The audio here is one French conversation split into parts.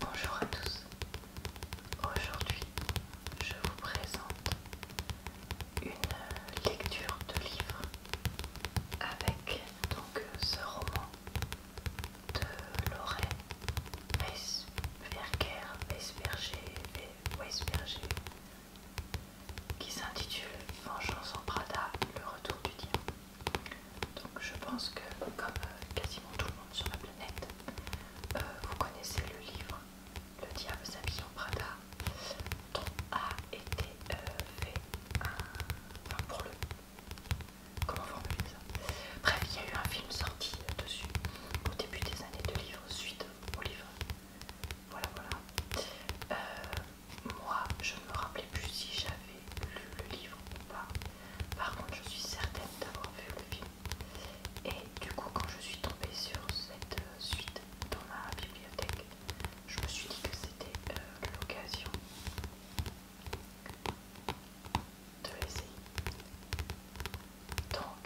Bonjour à tous. Aujourd'hui, je vous présente une lecture de livre avec donc ce roman de Lorraine et et Weisberger qui s'intitule Vengeance en Prada, le retour du diable. Donc je pense que comme euh, quasiment tout le monde sur la planète, euh, vous connaissez le livre Le diable s'habille en Prada dont a été euh, fait un... pour le... Comment formuler ça Bref, il y a eu un film sorti dessus au début des années de livre, suite au livre. Voilà, voilà. moi, je ne me rappelais plus si j'avais le livre ou pas. Par contre, je suis certaine d'avoir vu le film. Et du coup, quand je suis tombée sur cette euh, suite dans ma bibliothèque, je me suis dit que c'était euh, l'occasion de l'essayer. Donc,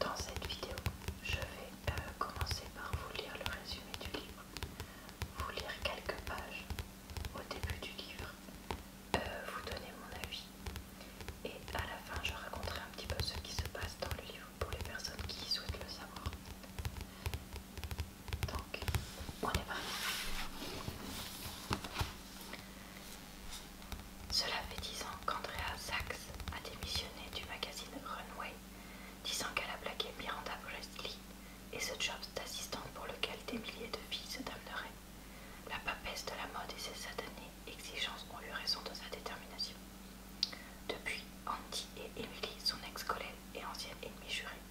dans cette vidéo, je vais euh, commencer par vous lire le résumé du livre, vous lire quelques pages au début du livre, euh, vous donner mon avis. Et à la fin, je raconterai un petit peu ce qui se passe dans le livre pour les personnes qui souhaitent le savoir. Donc, on est parti. Cela fait 10 ans qu'Andrea Sachs a démissionné du magazine Runway, disant qu'elle a plaqué Miranda Presley et ce job d'assistante pour lequel des milliers de filles se damneraient. La papesse de la mode et ses satanées exigences ont eu raison de sa détermination. Depuis, Andy et Emily, son ex-collègue et ancienne ennemie jurée,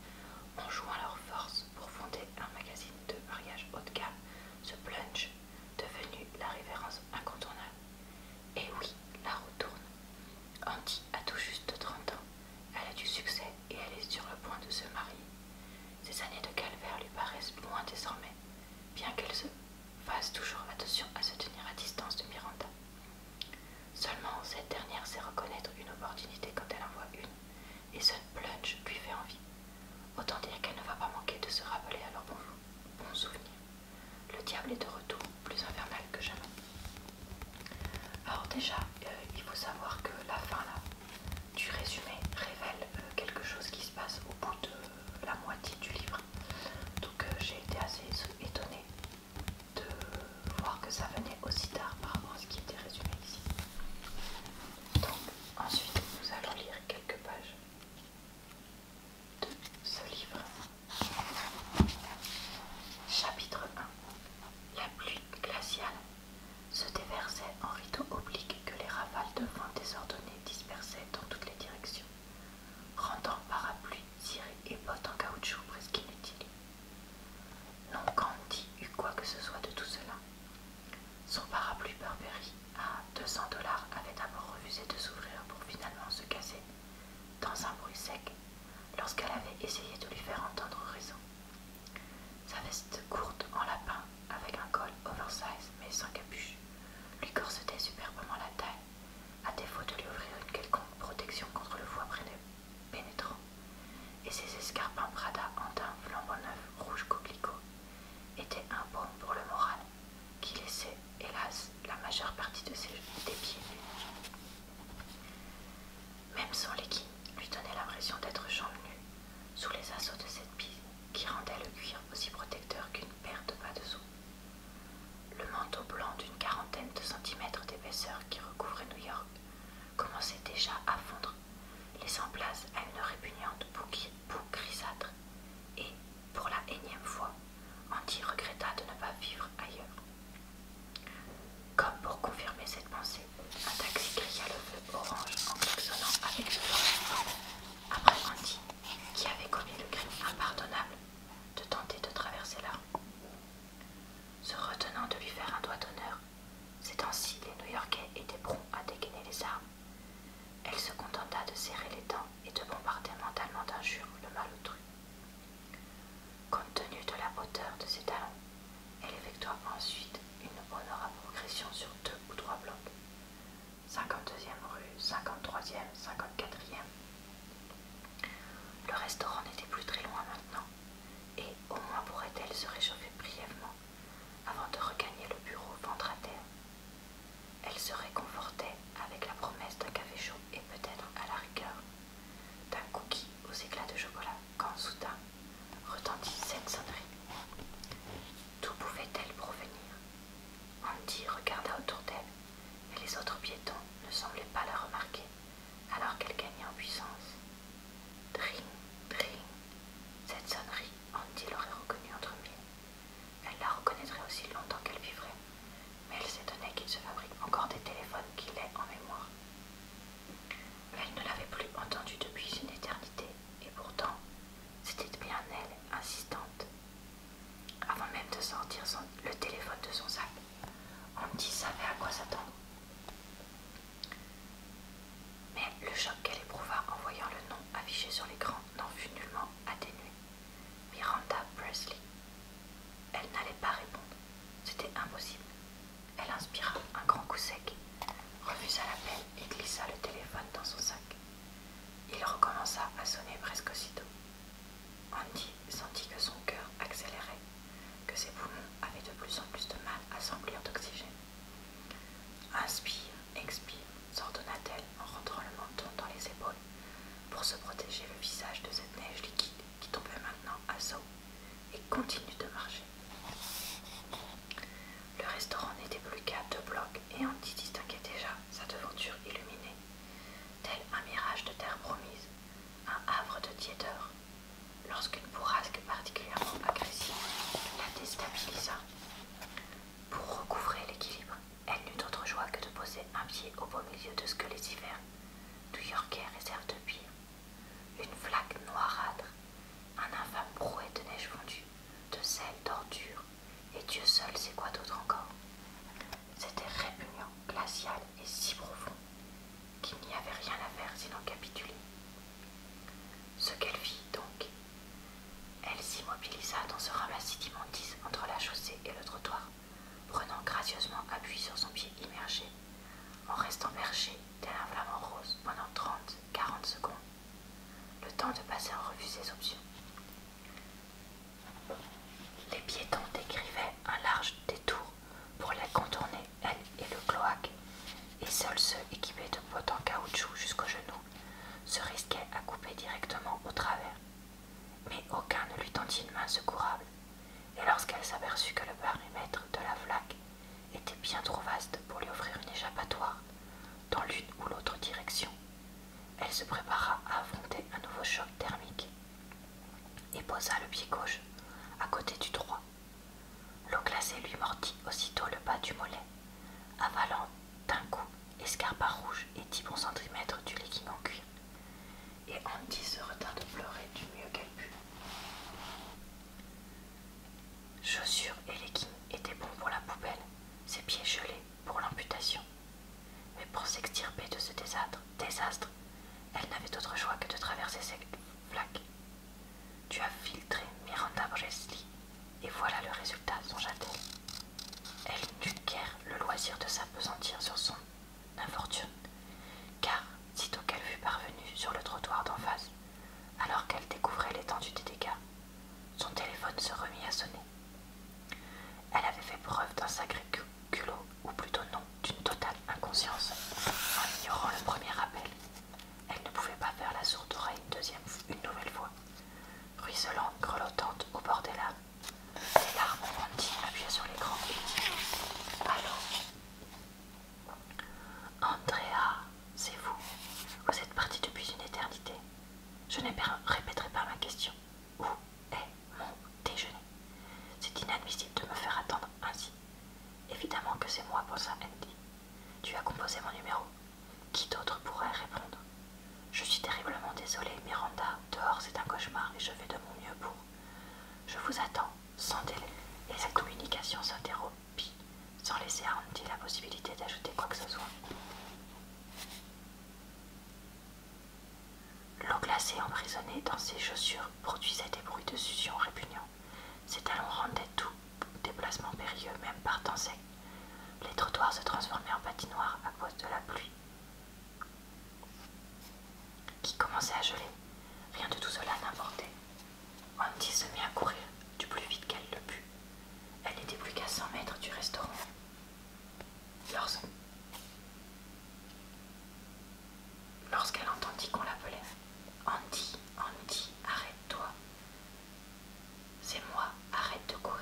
ont joint leurs forces pour fonder un magazine de mariage haut de gamme, The Plunge, devenu la révérence incontournable. Et oui, la retourne. tourne. Andy a tout juste 30 ans. Elle a du succès et elle est sur le point de se marier. Ces années de calvaire lui paraissent moins désormais, bien qu'elle se fasse toujours attention à se tenir à distance de Miranda. Seulement, cette dernière sait reconnaître une opportunité quand elle en voit une, et ce plunge lui fait envie. Autant dire qu'elle ne va pas manquer de se rappeler à leur bon, bon souvenir. Le diable est de retour, plus infernal que jamais. Alors déjà, euh, il faut savoir que la fin du résumé révèle euh, quelque chose qui se passe au bout de euh, la moitié du livre. Donc j'ai été assez étonnée de voir que ça venait aussi tard par rapport à ce qui était résumé ici. Donc ensuite nous allons lire quelques pages de ce livre. Chapitre 1 La pluie glaciale se déversait en rideaux obliques que les rafales de vent désordonnées dispersaient dans toutes les directions, rendant parapluies, cirés et bottes en caoutchouc presque inutiles. Non Candy eut quoi que ce soit de tout cela. Son parapluie Burberry à 200 dollars avait d'abord refusé de s'ouvrir pour finalement se casser dans un bruit sec lorsqu'elle avait essayé de lui faire entendre raison. Sa veste courte en lapin avec un col oversize mais sans capuche lui corsetait superbement la taille, à défaut de lui offrir une quelconque protection contre le foie pénétrant, et ses escarpins Prada en daim flambant neuf rouge coquelicot étaient un bon pour le moral qui laissait, hélas, la majeure partie de ses des pieds même son legging lui donnait l'impression d'être jambes nu sous les assauts de cette piste qui rendait le cuir aussi protecteur qu'une paire de pas de sous. Le manteau blanc d'une quarantaine de centimètres d'épaisseur qui recouvrait New York commençait déjà à fondre, laissant place à une répugnante boue grisâtre, et, pour la énième fois, Andy regretta de ne pas vivre ailleurs. Comme pour confirmer cette pensée, un taxi cria le feu orange en claxonnant avec fureur. Après Andy, qui avait commis le crime impardonnable de tenter de traverser la Se retenant de lui faire un doigt d'honneur, ces temps-ci les New-Yorkais étaient prompts à dégainer les armes. Elle se contenta de serrer les dents et de bombarder mentalement d'injures le autrui. Compte tenu de la hauteur de ses talons, elle effectua ensuite une honorable progression sur deux ou trois blocs. 52e rue, 53e, 54e. Le restaurant n'était plus très loin maintenant, et au moins pourrait-elle se réchauffer brièvement avant de regagner le bureau ventre à terre. Elle se réconfortait avec la promesse d'un café chaud et peut-être à la rigueur d'un cookie aux éclats de chocolat quand soudain retentit cette sonnerie. D'où pouvait-elle provenir Andy regarda autour d'elle, mais les autres piétons ne semblaient pas la remarquer, alors qu'elle gagnait en puissance. Dring, dring, cette sonnerie, Andy l'aurait reconnue entre mille. Elle la reconnaîtrait aussi longtemps qu'elle vivrait, mais elle s'étonnait qu'il se fabrique encore des téléphones qui l'aient en mémoire. Elle ne l'avait plus entendu depuis une éternité, et pourtant, c'était bien elle, insistante. Avant même de sortir le téléphone de son sac, Andy savait à quoi s'attendre. Mais le choc qu'elle éprouva en voyant le nom affiché sur l'écran n'en fut nullement atténué. Miranda Presley. Elle n'allait pas répondre. C'était impossible. Elle inspira un grand coup sec, refusa l'appel et glissa le téléphone dans son sac. Il recommença à sonner presque aussitôt. Andy sentit que son cœur accélérait, que ses poumons avaient de plus en plus de mal à s'emplir d'oxygène. Inspire, expire, s'ordonna-t-elle en rentrant le menton dans les épaules pour se protéger le visage de cette neige liquide qui tombait maintenant à saut et continue de marcher. Le restaurant n'était plus qu'à deux blocs et on y distinguait déjà sa devanture illuminée, tel un mirage de terre promise, un havre de tièdeur, lorsqu'une bourrasque particulièrement agressive la déstabilisa. Pour recouvrer l'équilibre, elle n'eut d'autre joie que de poser un pied au beau milieu de ce que les hivers new-yorkais réservent de pire une flaque noirâtre, un infâme brouet de neige fondue, de sel, d'ordure, et Dieu seul sait quoi d'autre encore. C'était répugnant, glacial et si profond qu'il n'y avait rien à faire sinon capituler. Ce qu'elle fit donc, elle s'immobilisa dans ce ramassis d'immondices entre la chaussée et le trottoir, prenant gracieusement appui sur son pied immergé en restant perché, tel un flamant rose, pendant 30-40 secondes, le temps de passer en revue ses options. Les piétons décrivaient un large détour pour les contourner, elle et le cloaque, et seuls ceux équipés de bottes en caoutchouc jusqu'au genou se risquaient à couper directement au travers. Mais aucun ne lui tendit une main secourable, et lorsqu'elle s'aperçut que le paramètre de la flaque était bien trop vaste pour lui offrir une échappatoire dans l'une ou l'autre direction. Elle se prépara à affronter un nouveau choc thermique et posa le pied gauche à côté du droit. L'eau glacée lui mordit aussitôt le bas du mollet, avalant d'un coup escarpin rouge et dix bons centimètres du legging en cuir. Et Andy se retint de pleurer du mieux qu'elle put. Chaussures et leggings étaient bons pour la poubelle, ses pieds gelés pour l'amputation. Mais pour s'extirper de ce désastre, elle n'avait d'autre choix que de traverser cette flaque. Tu as filtré Miranda Bresley, et voilà le résultat, songea-t-elle. Elle n'eut guère le loisir de s'apesantir sur son infortune, car sitôt qu'elle fut parvenue sur le trottoir d'en face, alors qu'elle découvrait l'étendue des dégâts, son téléphone se remit à sonner. Elle avait fait preuve d'un sacré culot, ou plutôt non, d'une totale inconscience, en ignorant le premier appel. Elle ne pouvait pas faire la sourde oreille une deuxième, nouvelle fois. Ruisselante, grelottante, au bord des larmes. Les larmes ont appuyées sur l'écran. Allô Andrea, c'est vous. Vous êtes partie depuis une éternité. Je ne répéterai pas ma question. Où est mon déjeuner C'est inadmissible de me faire attendre ainsi. Évidemment que c'est moi, pour ça, Andy. Tu as composé mon numéro. Qui d'autre pourrait répondre Je suis terriblement désolée, Miranda. Dehors, c'est un cauchemar et je fais de mon mieux pour. Je vous attends, sans délai. Et sa communication s'interrompt sans laisser à Andy la possibilité d'ajouter quoi que ce soit. L'eau glacée emprisonnée dans ses chaussures produisait des bruits de succion répugnants. Ses talons rendaient tout déplacement périlleux, même par temps sec. Les trottoirs se transformaient en patinoires à cause de la pluie qui commençait à geler. Rien de tout cela n'importait. Andy se mit à courir du plus vite qu'elle le put. Elle n'était plus qu'à 100 mètres du restaurant. Lorsqu'elle entendit qu'on l'appelait, Andy, Andy, arrête-toi. C'est moi, arrête de courir.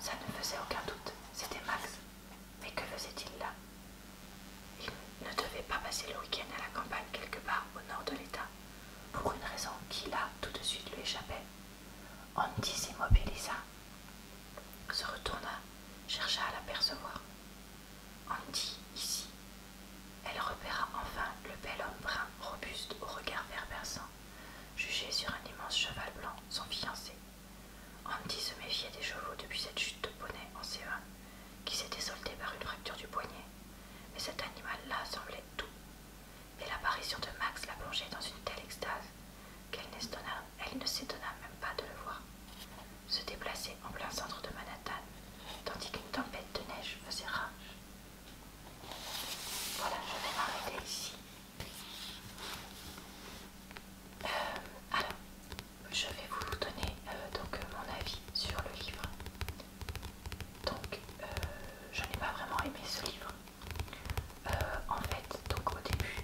Ça ne faisait aucun doute, c'était Max. Mais que faisait-il là il ne devait pas passer le week-end à la campagne quelque part au nord de l'État, pour une raison qui là tout de suite lui échappait. Andy s'immobilisa, se retourna, chercha à l'apercevoir. Andy, ici. Elle repéra enfin le bel homme brun, robuste, au regard vert perçant, jugé sur un immense cheval blanc, son fiancé. Andy se méfiait des chevaux depuis cette chute de poney en C1 qui s'était solté par une fracture du poignet, mais cet animal-là semblait tout. Et l'apparition de Max la plongeait dans une telle extase qu'elle ne s'étonna même pas de le voir se déplacer en plein centre de Manhattan, tandis qu'une tempête de neige faisait rage. Voilà, je vais m'arrêter ici. Euh, alors, je vais vous donner euh, donc mon avis sur le livre. Donc euh, je n'ai pas vraiment aimé ce livre. Euh, en fait, donc au début,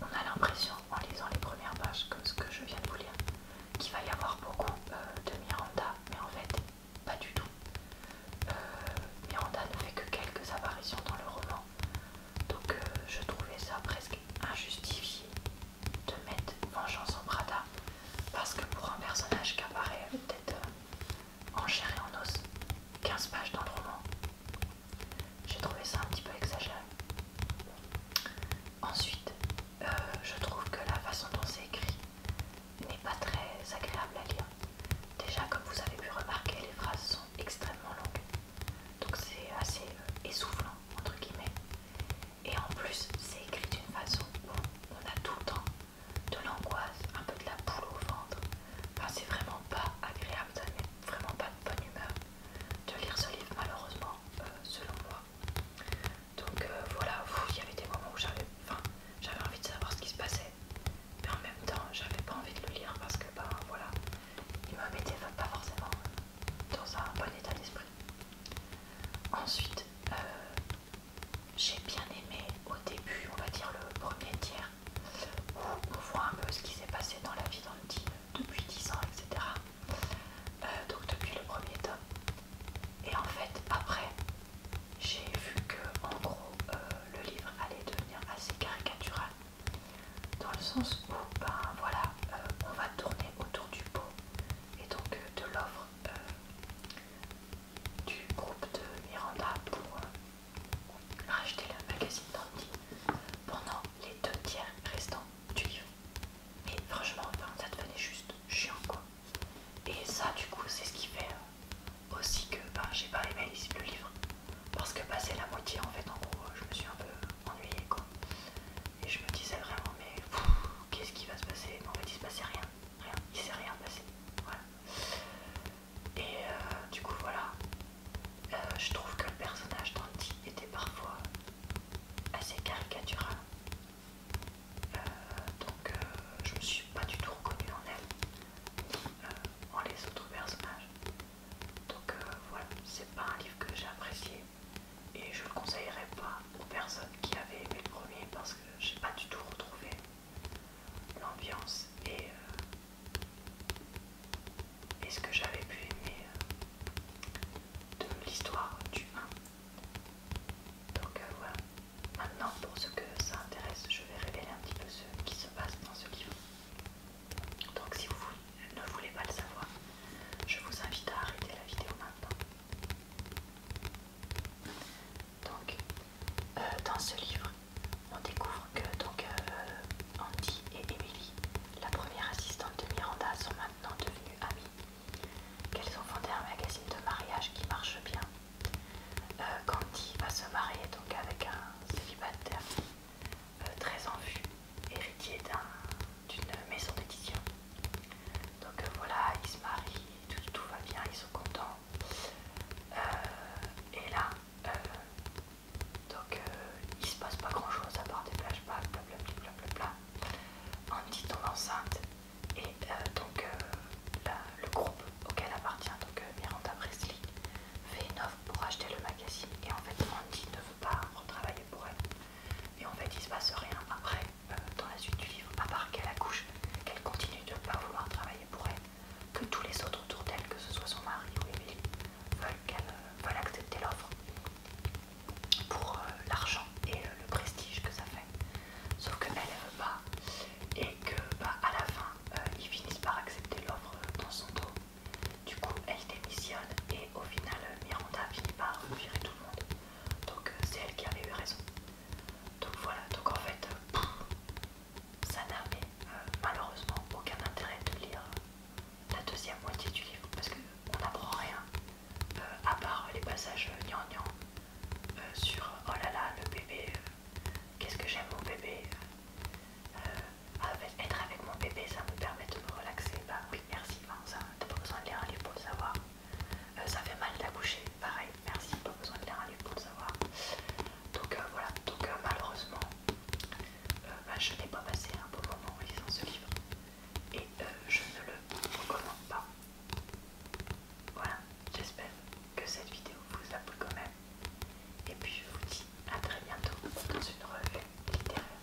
on a l'impression en lisant les premières pages, comme ce que je viens de vous lire, qu'il va y avoir beaucoup de Miranda, mais en fait, pas du tout. Miranda ne fait que quelques apparitions dans le roman, donc je trouvais ça presque injustifié de mettre Vengeance en Prada parce que pour un personnage qui apparaît peut-être euh, en chair et en os, 15 pages dans le roman, j'ai trouvé ça un petit peu exagéré. Ensuite, euh, je trouve que la façon dont c'est écrit n'est pas très agréable à lire. Déjà, comme vous avez pu remarquer, les phrases sont extrêmement longues, donc c'est assez euh, essoufflant entre guillemets. Et en plus, c'est écrit d'une façon où on a tout le temps de l'angoisse, un peu de la boule au ventre. Enfin, c'est vraiment pas agréable, ça met vraiment pas de bonne humeur de lire ce livre, malheureusement, euh, selon moi. Donc euh, voilà, il y avait des moments où j'avais enfin, envie de savoir ce qui se passait, mais en même temps, j'avais pas envie de le lire parce que, ben voilà, il me mettait pas forcément dans un bon état d'esprit. Ensuite, euh, j'ai bien aimé au début, on va dire le premier tiers, où on voit un peu ce qui s'est passé dans la vie d'Antine depuis 10 ans, etc. Euh, donc depuis le premier tome. Et en fait, après, j'ai vu que, en gros, euh, le livre allait devenir assez caricatural. Dans le sens où, ben voilà, on va tourner autour du pot et donc euh, de l'offre euh, du groupe de Miranda pour euh, racheter le magazine Dandy pendant les deux tiers restants du livre. et franchement, ça devenait juste chiant quoi. Et ça, du coup, c'est ce qui fait aussi que ben, j'ai pas aimé le livre parce que passé bah, la moitié en fait, en gros, je me suis un peu ennuyée quoi. Et je me disais vraiment, mais qu'est-ce qui va se passer Non, en fait, il se passait rien, rien, il s'est rien passé. Voilà. Et euh, du coup, voilà. Euh, je trouve que le personnage d'Andy était parfois assez caricatural. Euh, donc, je je me suis pas du tout reconnue en elle, en les autres personnages. Donc, voilà, c'est pas un livre que j'ai apprécié et je le conseillerais pas aux personnes qui avaient aimé le premier parce que n'ai pas du tout retrouvé l'ambiance et, euh, ce que j'avais pu aimer euh, de l'histoire du 1. Donc euh, voilà. Maintenant, pour ce que ça intéresse, je vais révéler un petit peu ce qui se passe dans ce livre. Donc si vous ne voulez pas le savoir, je vous invite à arrêter la vidéo maintenant donc, euh, dans ce livre, on découvre que donc, euh, Andy et Emily, la première assistante de Miranda, sont maintenant devenues amies. Qu'elles ont fondé un magazine de mariage qui marche bien. qu'Andy euh, va se marier donc avec un célibataire très en vue, héritier d'un d'une maison d'édition. Donc euh, voilà, ils se marient, tout, va bien, ils sont contents. Euh, et là, euh, donc il se passe pas grand chose à part des plages blablabla. blablabla. Andy tombe enceinte et donc le groupe auquel appartient donc Miranda Presley fait une offre pour acheter le magazine et en fait Andy ne veut pas retravailler pour elle et en fait il se passe rien après euh, dans la suite du livre, à part qu'elle accouche, qu'elle continue de ne pas vouloir travailler pour elle, que tous les autres autour d'elle, que ce soit son mari ou Emily, veulent qu'elle accepte euh, accepter l'offre pour euh, l'argent et le prestige que ça fait. Sauf qu'elle elle veut pas et que bah, à la fin ils finissent par accepter l'offre dans son dos. Du coup elle démissionne et au final Miranda finit par virer tout le monde. Donc euh, c'est elle qui avait eu raison. Donc voilà, donc en fait, euh, ça n'avait euh, malheureusement aucun intérêt de lire la deuxième moitié du livre parce qu'on n'apprend rien à part les passages gnangnang gnan sur oh là là, le bébé, qu'est-ce que j'aime mon bébé, être avec mon bébé ça me permet de me relaxer. Bah oui, merci, t'as pas besoin de lire un livre pour le savoir. Euh, ça fait mal d'accoucher, pareil, merci, pas besoin de un livre pour le savoir. Donc euh, voilà, donc euh, malheureusement, bah, je n'ai pas passé un beau moment en lisant ce livre et je ne le recommande pas. Voilà, j'espère que cette vidéo vous a plu quand même. Et puis je vous dis à très bientôt dans une revue littéraire.